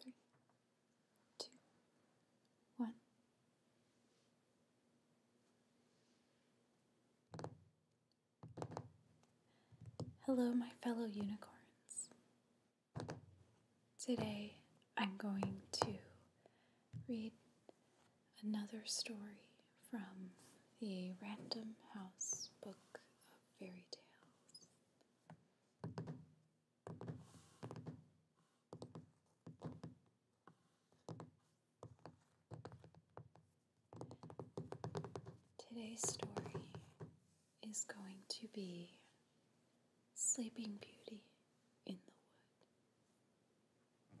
three, two, one. Hello, my fellow unicorns. Today I'm going to read another story from the Random House Book of Fairy Tales. Today's story is going to be Sleeping Beauty in the Wood.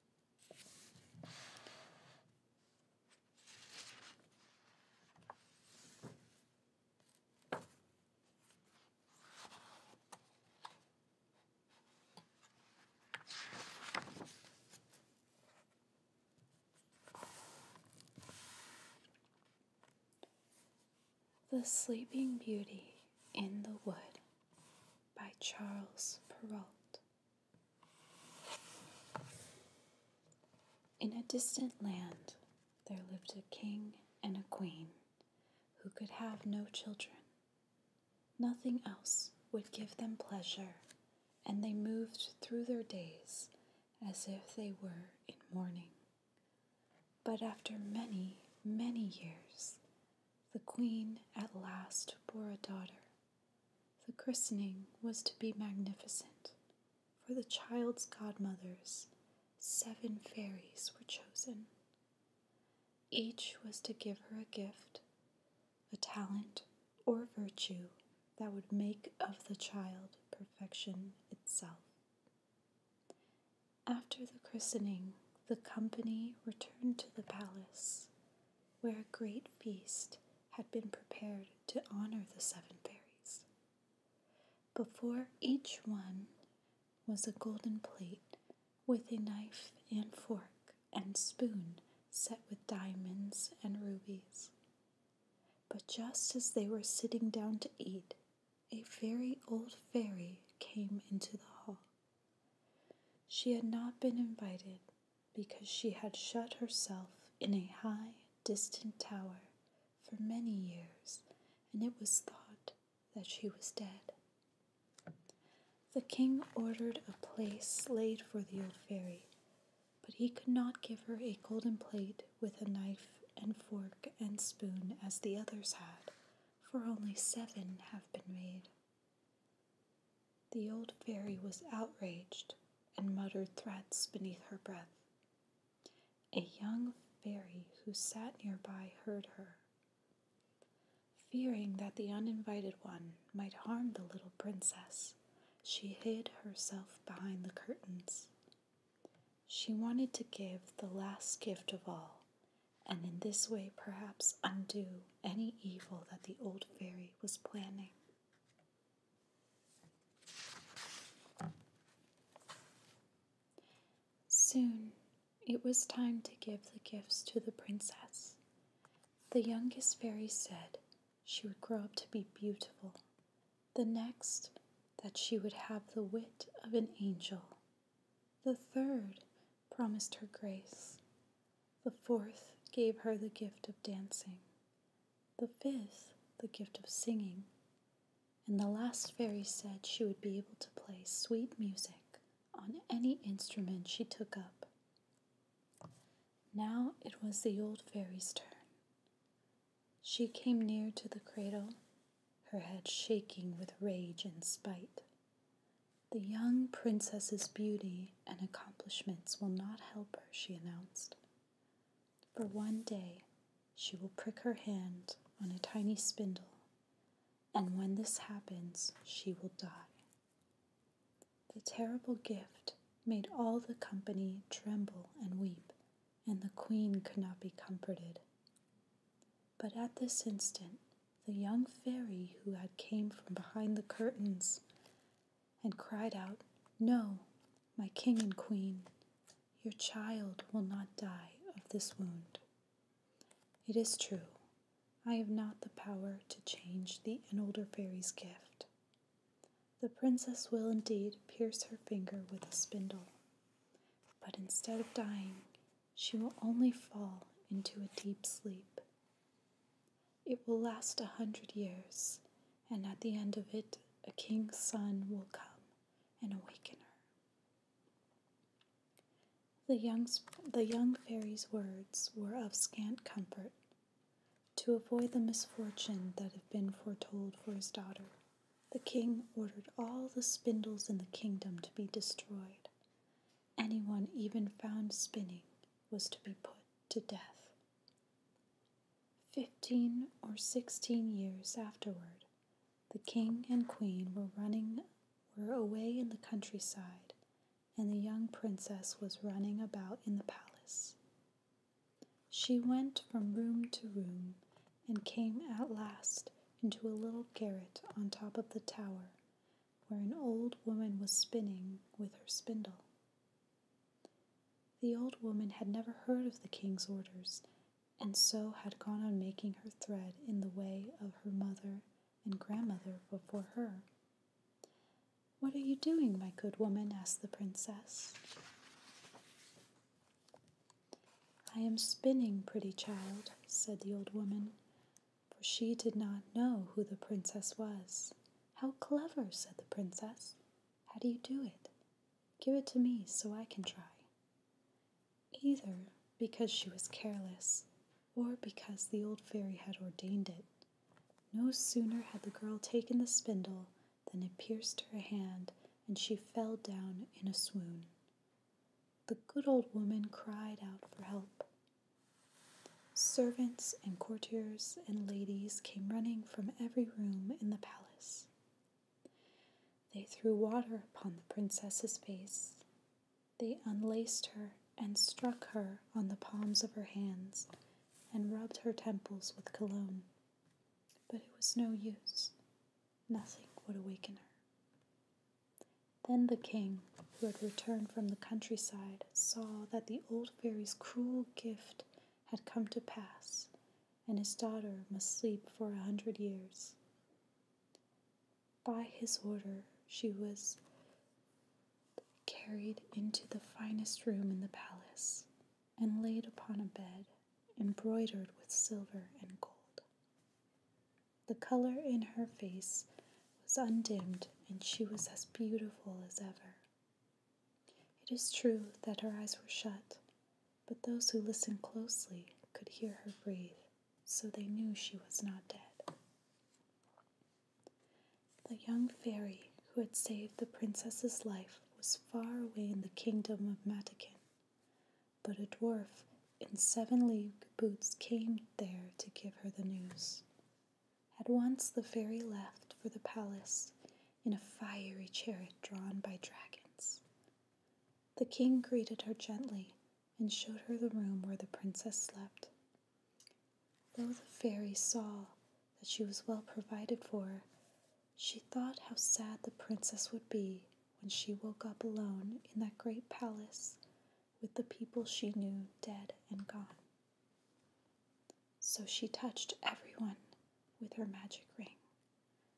The Sleeping Beauty in the Wood by Charles Perrault. In a distant land, there lived a king and a queen who could have no children. Nothing else would give them pleasure, and they moved through their days as if they were in mourning. But after many, many years, the queen at last bore a daughter. The christening was to be magnificent, for the child's godmothers, seven fairies, were chosen. Each was to give her a gift, a talent, or virtue that would make of the child perfection itself. After the christening, the company returned to the palace, where a great feast had been prepared to honor the seven fairies. Before each one was a golden plate with a knife and fork and spoon set with diamonds and rubies. But just as they were sitting down to eat, a very old fairy came into the hall she had not been invited because she had shut herself in a high, distant tower for many years, and it was thought that she was dead. The king ordered a place laid for the old fairy, but he could not give her a golden plate with a knife and fork and spoon as the others had, for only seven have been made. The old fairy was outraged and muttered threats beneath her breath. A young fairy who sat nearby heard her. Fearing that the uninvited one might harm the little princess, she hid herself behind the curtains. She wanted to give the last gift of all and in this way perhaps undo any evil that the old fairy was planning. Soon it was time to give the gifts to the princess. The youngest fairy said she would grow up to be beautiful, the next, that she would have the wit of an angel, the third promised her grace. The fourth gave her the gift of dancing. The fifth, the gift of singing. And the last fairy said she would be able to play sweet music on any instrument she took up. Now it was the old fairy's turn. She came near to the cradle her head shaking with rage and spite. The young princess's beauty and accomplishments will not help her, she announced. For one day, she will prick her hand on a tiny spindle, and when this happens, she will die. The terrible gift made all the company tremble and weep, and the queen could not be comforted. But at this instant, the young fairy who had came from behind the curtains and cried out, No, my king and queen, your child will not die of this wound. It is true, I have not the power to change the an older fairy's gift. The princess will indeed pierce her finger with a spindle, but instead of dying, she will only fall into a deep sleep. It will last a hundred years, and at the end of it, a king's son will come and awaken her. The young, the young fairy's words were of scant comfort to avoid the misfortune that had been foretold for his daughter, the king ordered all the spindles in the kingdom to be destroyed. Anyone even found spinning was to be put to death. Fifteen or sixteen years afterward, the king and queen were running were away in the countryside, and the young princess was running about in the palace. She went from room to room and came at last into a little garret on top of the tower, where an old woman was spinning with her spindle. The old woman had never heard of the king's orders, and so had gone on making her thread in the way of her mother and grandmother before her. What are you doing, my good woman? asked the princess. I am spinning, pretty child, said the old woman, for she did not know who the princess was. How clever, said the princess. How do you do it? Give it to me so I can try. Either because she was careless or because the old fairy had ordained it. No sooner had the girl taken the spindle than it pierced her hand and she fell down in a swoon. The good old woman cried out for help. Servants and courtiers and ladies came running from every room in the palace. They threw water upon the princess's face. They unlaced her and struck her on the palms of her hands and rubbed her temples with cologne. But it was no use. Nothing would awaken her. Then the king, who had returned from the countryside, saw that the old fairy's cruel gift had come to pass, and his daughter must sleep for a hundred years. By his order, she was carried into the finest room in the palace and laid upon a bed embroidered with silver and gold. The color in her face was undimmed, and she was as beautiful as ever. It is true that her eyes were shut, but those who listened closely could hear her breathe, so they knew she was not dead. The young fairy who had saved the princess's life was far away in the kingdom of Matakin, but a dwarf in seven league boots came there to give her the news. At once the fairy left for the palace in a fiery chariot drawn by dragons. The king greeted her gently and showed her the room where the princess slept. Though the fairy saw that she was well provided for, she thought how sad the princess would be when she woke up alone in that great palace with the people she knew dead and gone. So she touched everyone with her magic ring.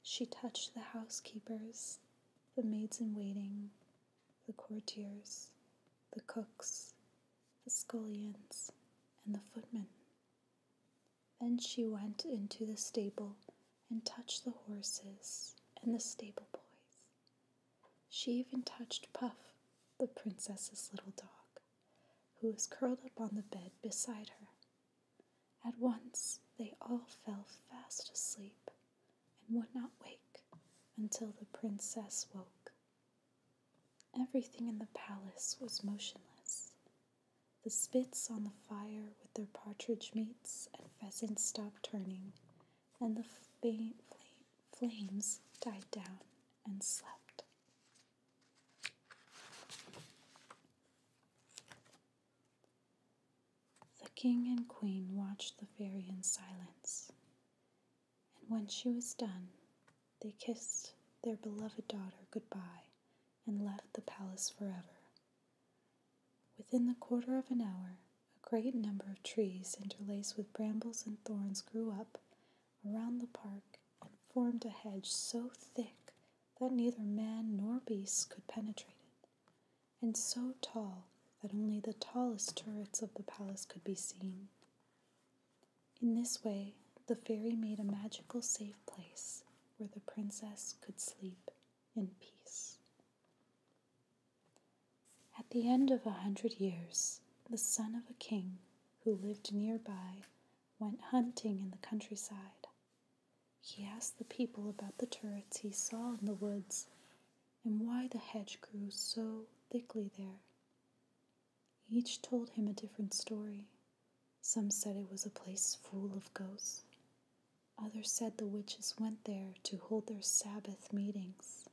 She touched the housekeepers, the maids in waiting, the courtiers, the cooks, the scullions, and the footmen. Then she went into the stable and touched the horses and the stable boys. She even touched Puff, the princess's little dog, who was curled up on the bed beside her. At once they all fell fast asleep and would not wake until the princess woke. Everything in the palace was motionless the spits on the fire with their partridge meats and pheasants stopped turning, and the faint flames died down and slept. The king and queen watched the fairy in silence, and when she was done, they kissed their beloved daughter good goodbye and left the palace forever. Within the quarter of an hour, a great number of trees interlaced with brambles and thorns grew up around the park and formed a hedge so thick that neither man nor beast could penetrate it, and so tall that only the tallest turrets of the palace could be seen. In this way, the fairy made a magical safe place where the princess could sleep in peace. At the end of a hundred years, the son of a king who lived nearby went hunting in the countryside. He asked the people about the turrets he saw in the woods and why the hedge grew so thickly there. Each told him a different story, some said it was a place full of ghosts. Others said the witches went there to hold their Sabbath meetings.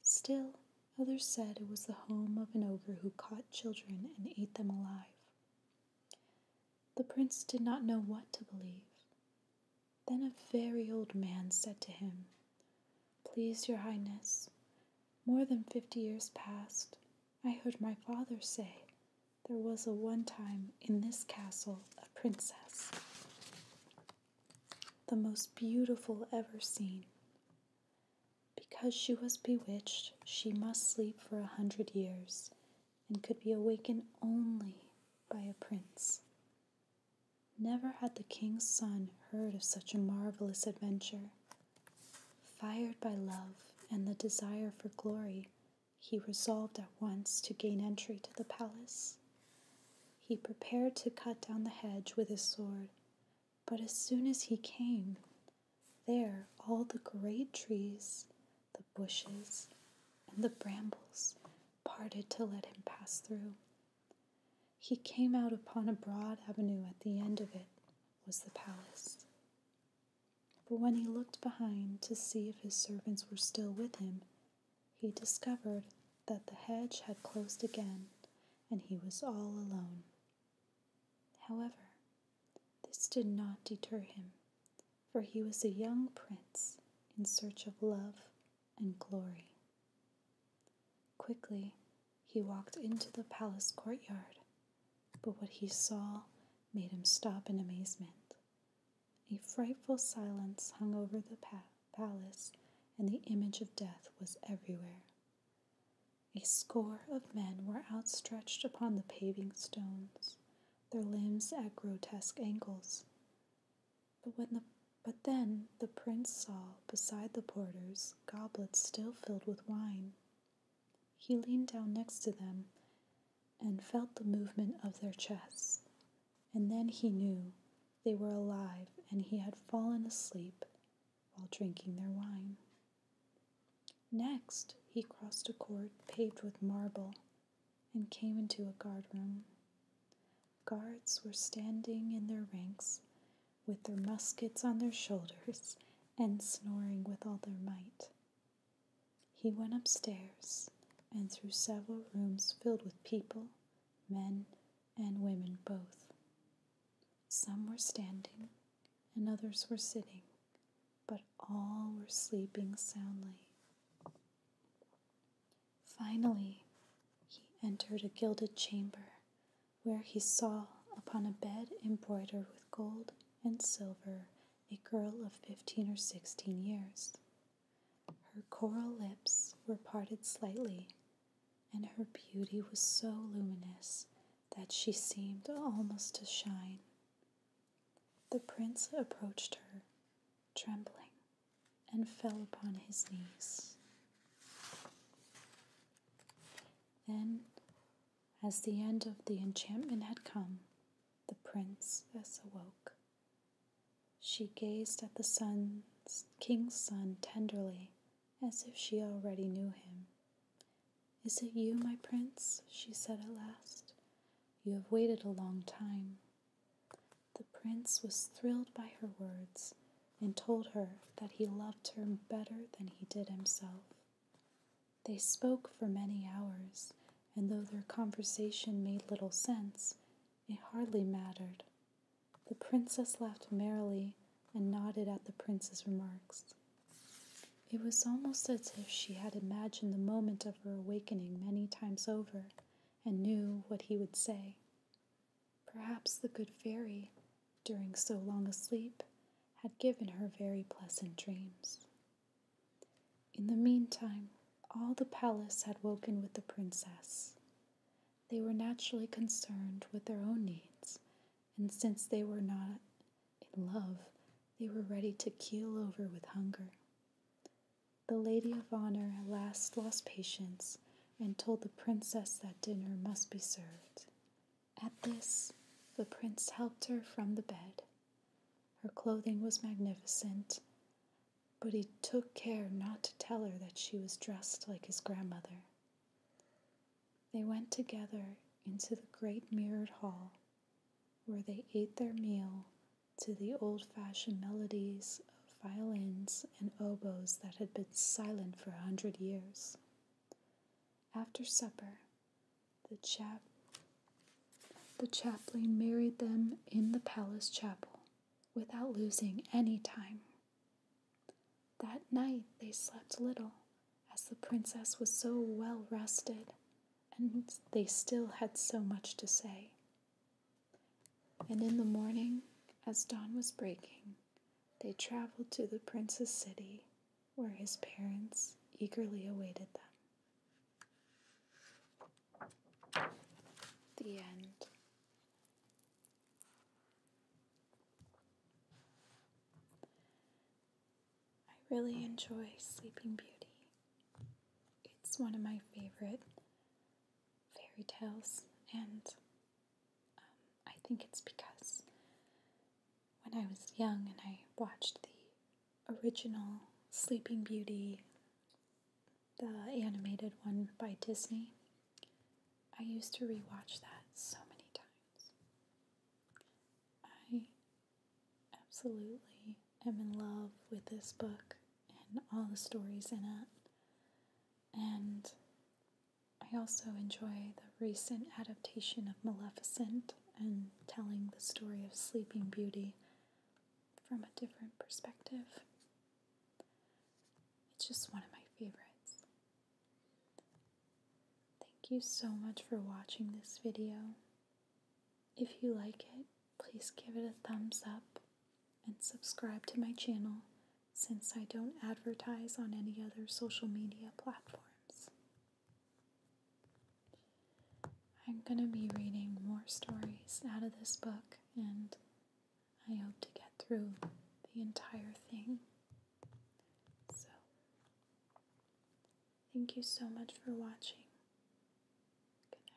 Still, others said it was the home of an ogre who caught children and ate them alive. The prince did not know what to believe. Then a very old man said to him, Please, your highness, more than fifty years past, I heard my father say there was a one time in this castle a princess, the most beautiful ever seen. Because she was bewitched, she must sleep for a hundred years and could be awakened only by a prince. Never had the king's son heard of such a marvelous adventure. Fired by love and the desire for glory, he resolved at once to gain entry to the palace. He prepared to cut down the hedge with his sword, but as soon as he came, there all the great trees, the bushes, and the brambles parted to let him pass through. He came out upon a broad avenue at the end of it was the palace. But when he looked behind to see if his servants were still with him, he discovered that the hedge had closed again and he was all alone. However, this did not deter him, for he was a young prince in search of love and glory. Quickly, he walked into the palace courtyard but what he saw made him stop in amazement. A frightful silence hung over the palace, and the image of death was everywhere. A score of men were outstretched upon the paving stones, their limbs at grotesque angles. But when the but then the prince saw beside the porters goblets still filled with wine he leaned down next to them and felt the movement of their chests, and then he knew they were alive and he had fallen asleep while drinking their wine. Next, he crossed a court paved with marble and came into a guardroom. Guards were standing in their ranks with their muskets on their shoulders and snoring with all their might he went upstairs and through several rooms filled with people, men and women both. Some were standing and others were sitting, but all were sleeping soundly. Finally, he entered a gilded chamber where he saw upon a bed embroidered with gold and silver a girl of fifteen or sixteen years. Her coral lips were parted slightly, and her beauty was so luminous that she seemed almost to shine. The prince approached her, trembling, and fell upon his knees. Then as the end of the enchantment had come, the princess awoke. She gazed at the sun's, king's son tenderly, as if she already knew him. Is it you, my prince? she said at last. You have waited a long time. The prince was thrilled by her words and told her that he loved her better than he did himself. They spoke for many hours, and though their conversation made little sense, it hardly mattered. The princess laughed merrily and nodded at the prince's remarks. It was almost as if she had imagined the moment of her awakening many times over and knew what he would say. Perhaps the good fairy, during so long a sleep, had given her very pleasant dreams. In the meantime, all the palace had woken with the princess. They were naturally concerned with their own needs, and since they were not in love, they were ready to keel over with hunger. The lady of honor at last lost patience and told the princess that dinner must be served, at this, the prince helped her from the bed. Her clothing was magnificent, but he took care not to tell her that she was dressed like his grandmother. They went together into the great mirrored hall, where they ate their meal to the old fashioned melodies of violins and oboes that had been silent for a hundred years. After supper, the, chap- the chaplain married them in the palace chapel without losing any time. That night they slept little, as the princess was so well rested, and they still had so much to say. And in the morning, as dawn was breaking, they traveled to the prince's city where his parents eagerly awaited them. The end. I really enjoy Sleeping Beauty. It's one of my favorite fairy tales, and um, I think it's because when I was young and I watched the original Sleeping Beauty, the animated one by Disney. I used to rewatch that so many times. I absolutely am in love with this book and all the stories in it. And I also enjoy the recent adaptation of Maleficent and telling the story of Sleeping Beauty from a different perspective. It's just one of my favorites. Thank you so much for watching this video. If you like it, please give it a thumbs up and subscribe to my channel since I don't advertise on any other social media platforms. I'm going to be reading more stories out of this book, and I hope to get through the entire thing. So, thank you so much for watching. Good night.